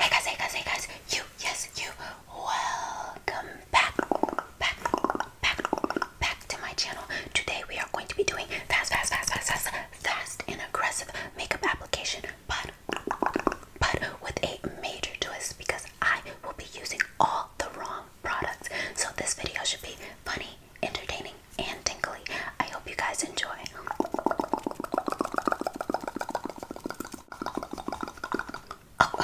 Hey guys, hey guys, hey guys, you, yes, you, welcome back, back, back, back to my channel. Today we are going to be doing fast, fast, fast, fast, fast, fast and aggressive makeup application, but, but with a major twist because I will be using all the wrong products. So this video should be funny, entertaining, and tingly. I hope you guys enjoy. Oh,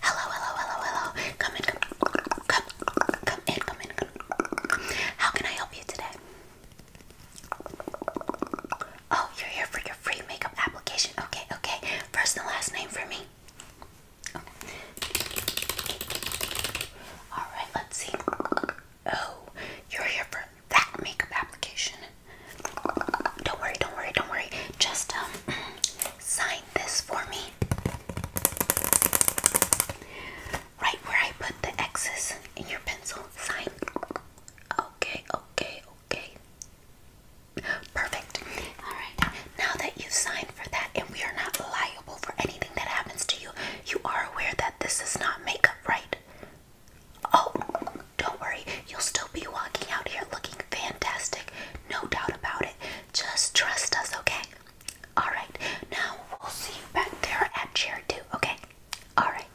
hello, hello, hello, hello. Come in, come, come, come in, come in. How can I help you today? Oh, you're here for your free makeup application. Okay, okay. First and last name for me. All right, let's see. Oh, you're here for that makeup application. Don't worry, don't worry, don't worry. Just um sign this for me. Right where I put the X's in your pencil. Sign. Okay, okay, okay. Perfect. Alright. Now that you've signed for that and we are not liable for anything that happens to you, you are aware that this is not makeup, right? Oh, don't worry, you'll still be walking out here looking fantastic, no doubt about it. Just trust us, okay? Alright, now we'll see you back there at chair two, okay? Alright.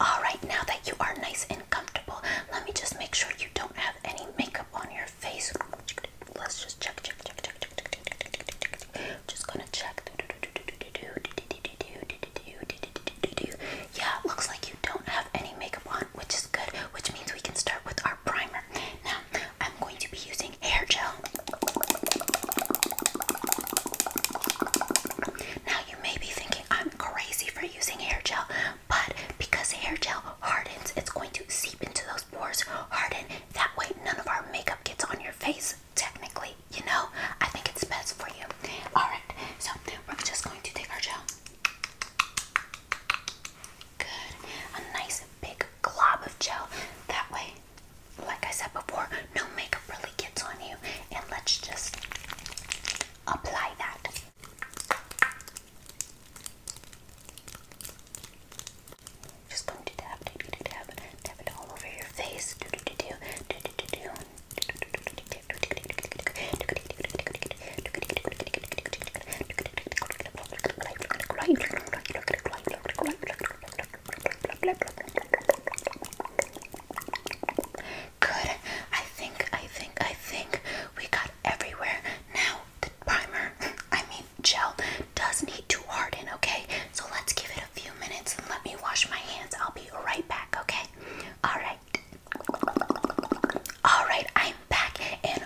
Alright, now that you are nice and comfortable, let me just make sure you don't have any makeup on your face. Let's just check, check, check, check, check, check, check, check, check, Just gonna check. Yeah, looks like you don't have any makeup on, which is good, which means we can start with our primer. Now, I'm going to be using hair gel. Now, you may be thinking I'm crazy for using hair gel, but because hair gel hardens, it's going to seep into those pores, harden. That way, none of our makeup gets on your face technically, you know, I think it's best for you. Alright, so we're just going to take our gel. Good. A nice big glob of gel. That way, like I said before, no makeup really gets on you. And let's just apply that. Just going to tap, do do tap, tap it all over your face. Do do do do do do do do. Good. I think, I think, I think we got everywhere. Now the primer, I mean gel, does need too hard in, okay? So let's give it a few minutes and let me wash my hands. I'll be right back, okay? Alright. Alright, I'm back and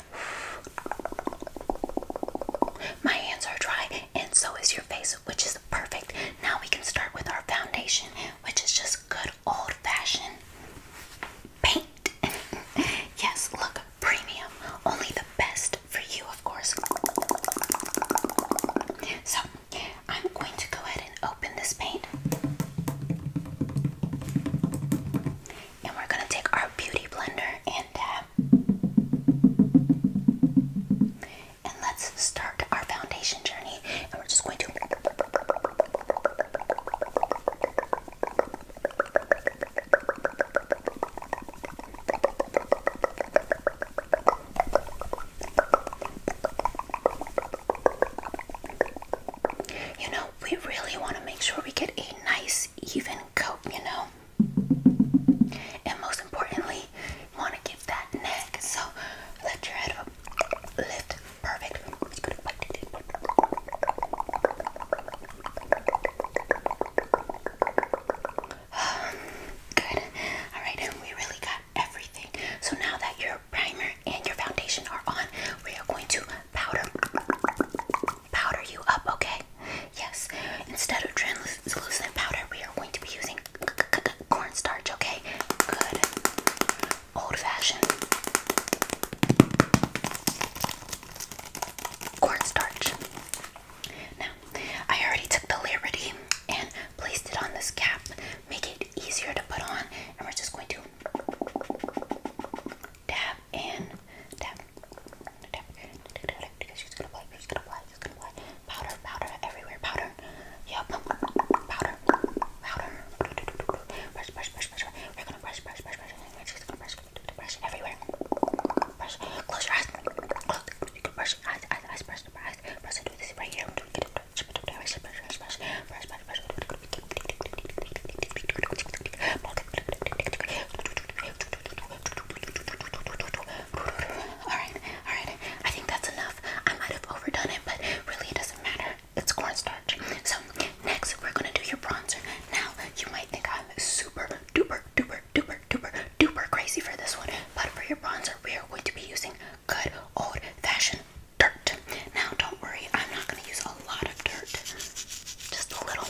my hands are dry and so is your face, which is perfect. Now we can start with our foundation, which is just good old fashioned paint. yes, look, premium. Only the best for you, of course. So, I'm going to go ahead and open this paint. And we're going to take our beauty blender and dab. And let's start our foundation journey. And we're just going to. You know, we really want to make sure we get a nice, even coat, you know? And most importantly, want to get that neck. So lift your head up. Lift. Perfect. Good. Alright, we really got everything. So now that your primer and your foundation are on, we are going to powder powder you up, okay? Yes. Instead of translucent powder, we are going to be using cornstarch, okay? Good. Old fashioned. Cornstarch. Now, I already took the Liberty and placed it on this cap, make it easier to put on, and we're just going to dab and dab, dab, she's gonna apply, she's gonna apply, she's gonna apply powder, powder everywhere, powder, yep, powder, powder, brush, brush, brush, brush, we're gonna brush, brush, brush, brush, she's gonna brush, brush everywhere, brush, close your eyes, look, you can brush, eyes, eyes, eyes, brush, brush, brush, Alright, alright. I think that's enough. I might have overdone it, but really it doesn't matter. It's cornstarch. So next we're gonna do your bronzer. Now you might think I'm super duper duper duper, duper, duper crazy for this one. But for your bronzer, we are going to be using good old fashioned dirt. Now, don't worry, I'm not going to use a lot of dirt, just a little.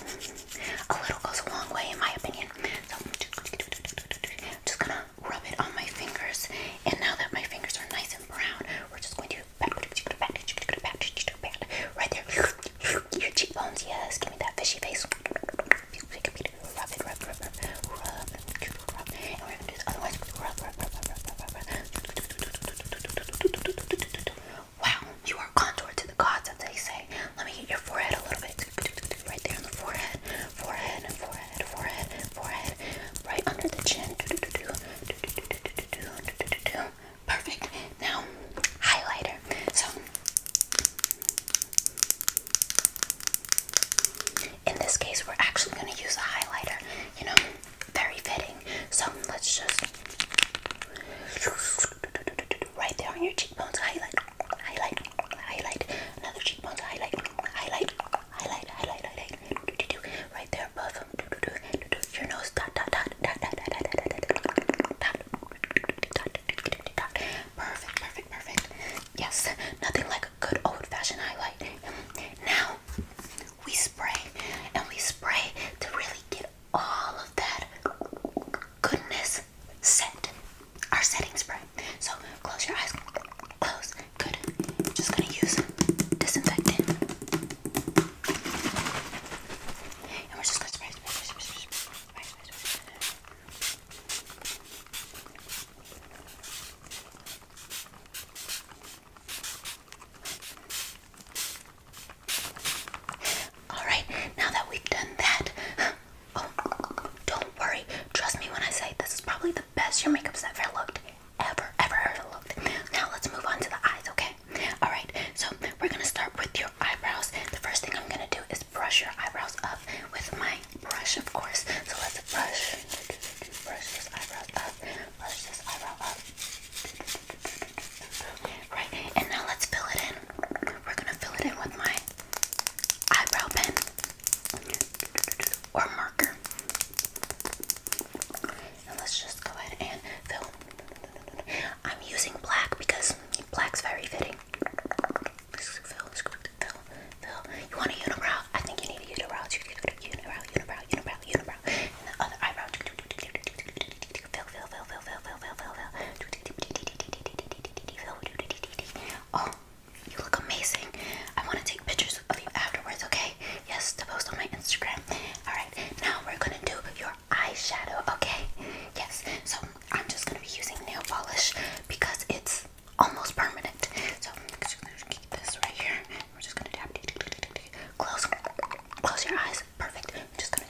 A little goes a long way, in my opinion. So, I'm just going to rub it on my fingers. And now that my fingers are nice and brown, we're just going to pat, pat, pat, pat, pat, pat, pat, pat right there. Your cheekbones, yes, give me that fishy face. Rub Wow, you are contoured to the gods, as they say. Let me hit your forehead a little bit. Right there on the forehead, forehead, forehead, forehead, forehead, right under the chin. Perfect. Now, highlighter. So, in this case, we're actually going to use a highlighter, you know, very fitting. So let's just right there on your cheekbones, highlight, highlight, highlight, another cheekbones, highlight, highlight, highlight, highlight, highlight, right there above your nose, dot, dot, dot, dot, dot, dot, dot, dot, dot, dot, dot, perfect, perfect, perfect. Yes, nothing like good old-fashioned highlight. Now we spray and we spray to really get all of that goodness set. Our setting spray. So close your eyes. Close. Good. Just gonna use disinfectant. And we're just gonna spray, spray, spray, spray, spray, spray, spray, spray. All right, now that we've done that, oh, don't worry. Trust me when I say this is probably the best your makeup's ever looked, ever, ever looked. Now let's move on to the eyes, okay? All right, so we're gonna start with your eyebrows. The first thing I'm gonna do is brush your eyebrows up with my brush, of course. So let's brush. Brush this Right. And now let's fill it in. We're gonna fill it in with my eyebrow pen or marker. And let's just go ahead and fill. I'm using black because black's very fitting. Phil, Phil, Phil. You want a unibrow? I think you need a unibrow. Unibrow, unibrow, unibrow, unibrow. And the other eyebrow. Phil, Phil, Phil, Phil, Phil, Phil, Phil, Phil. Oh, you look amazing. I want to take pictures of you afterwards, okay? Yes, to post on my Instagram. Alright, now we're going to do your eyeshadow, okay? Yes, so I'm just going to be using nail polish because it's almost permanent. So I'm just gonna keep this right here. We're just gonna tap. Close, close your eyes. Perfect. I'm just gonna.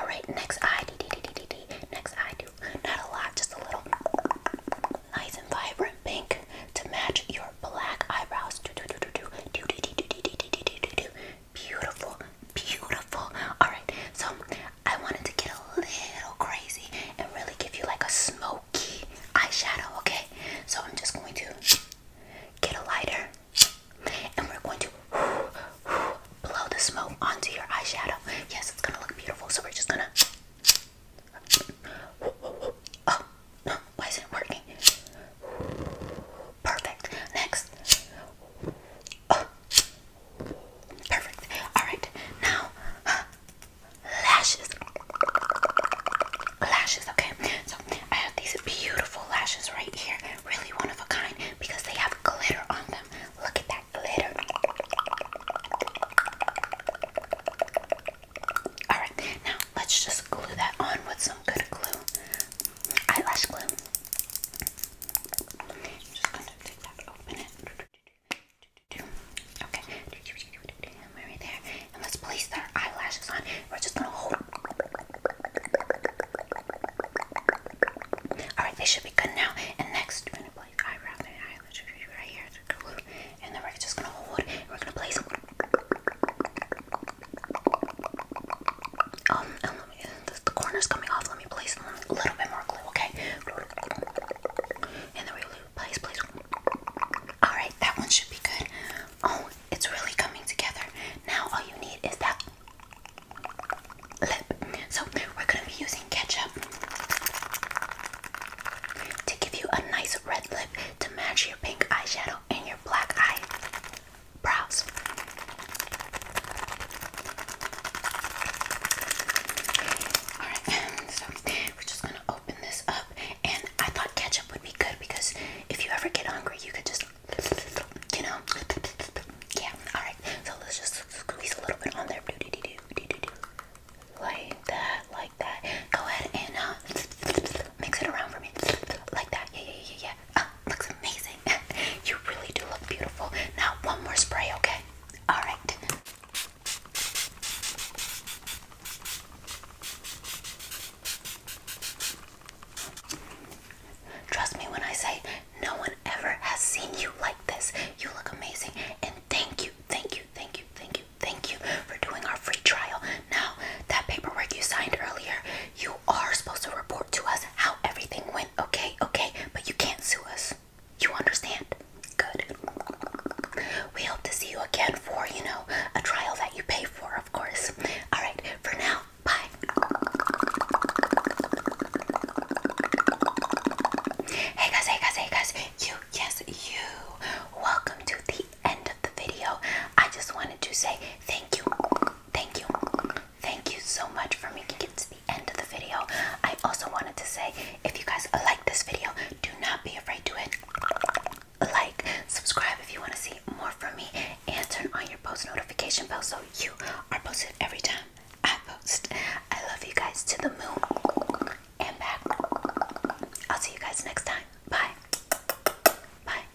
All right, next eye. Next eye. Do not a lot, just a little. Nice and vibrant pink to match your black eyebrows. Do do do do do do do do do do do do do do. Beautiful, beautiful. Alright, so I wanted to get a little crazy and really give you like a smoky eyeshadow, okay? So I'm just going to get a lighter and we're going to blow the smoke onto your eyeshadow. Yes, it's gonna look beautiful, so we're just gonna. Oh, why isn't it working? Perfect. Next. Oh. Perfect. Alright. Now lashes. Lashes, okay. So I have these beautiful lashes right here. Really one of a kind because they have glitter on them. Look at that glitter. Alright, now let's just glue that on with some good glue eyelash glue. I'm i right there. And let's place our eyelashes on. We're just gonna hold. Alright, they should be good now. And next, we're gonna place eyebrow and right here. And then we're just gonna hold. we're gonna place the, corner's coming off. Let me place a little bit more glue, okay? And then we place, place. Alright, that one should be good. Oh, it's really coming together. Now all you need is that lip. So we're gonna be using ketchup to give you a nice red lip to match your pink eyeshadow and your black eye brows. Alright, so we're just gonna open this up. And I thought ketchup would be good because if you ever get hungry, you could just, you know, yeah. Alright, so let's just squeeze a little bit on there. Like that, like that. Go ahead and uh, mix it around for me. Like that. Yeah, yeah, yeah, yeah. Oh, looks amazing. You really do look beautiful. Now, one more spray, okay? All right. Trust me when I say no one ever has seen you like this. You look amazing. And thank you, thank you, thank you, thank you, thank you for doing our free trial. Now, that paperwork you signed earlier, you you are supposed to report to us how everything went, okay? Okay, but you can't sue us. You understand? Good. We hope to see you again for, you know, a trial that you pay for, of course. Alright, for now, bye. Hey guys, hey guys, hey guys. You, yes, you. Welcome to the end of the video. I just wanted to say thank you, thank you, thank you so much for making it to the end of the video. I also wanted to say if you guys like this video, do not be afraid to it. like, subscribe if you want to see more from me, and turn on your post notification bell so you are posted every time I post. I love you guys to the moon and back. I'll see you guys next time. Bye. Bye.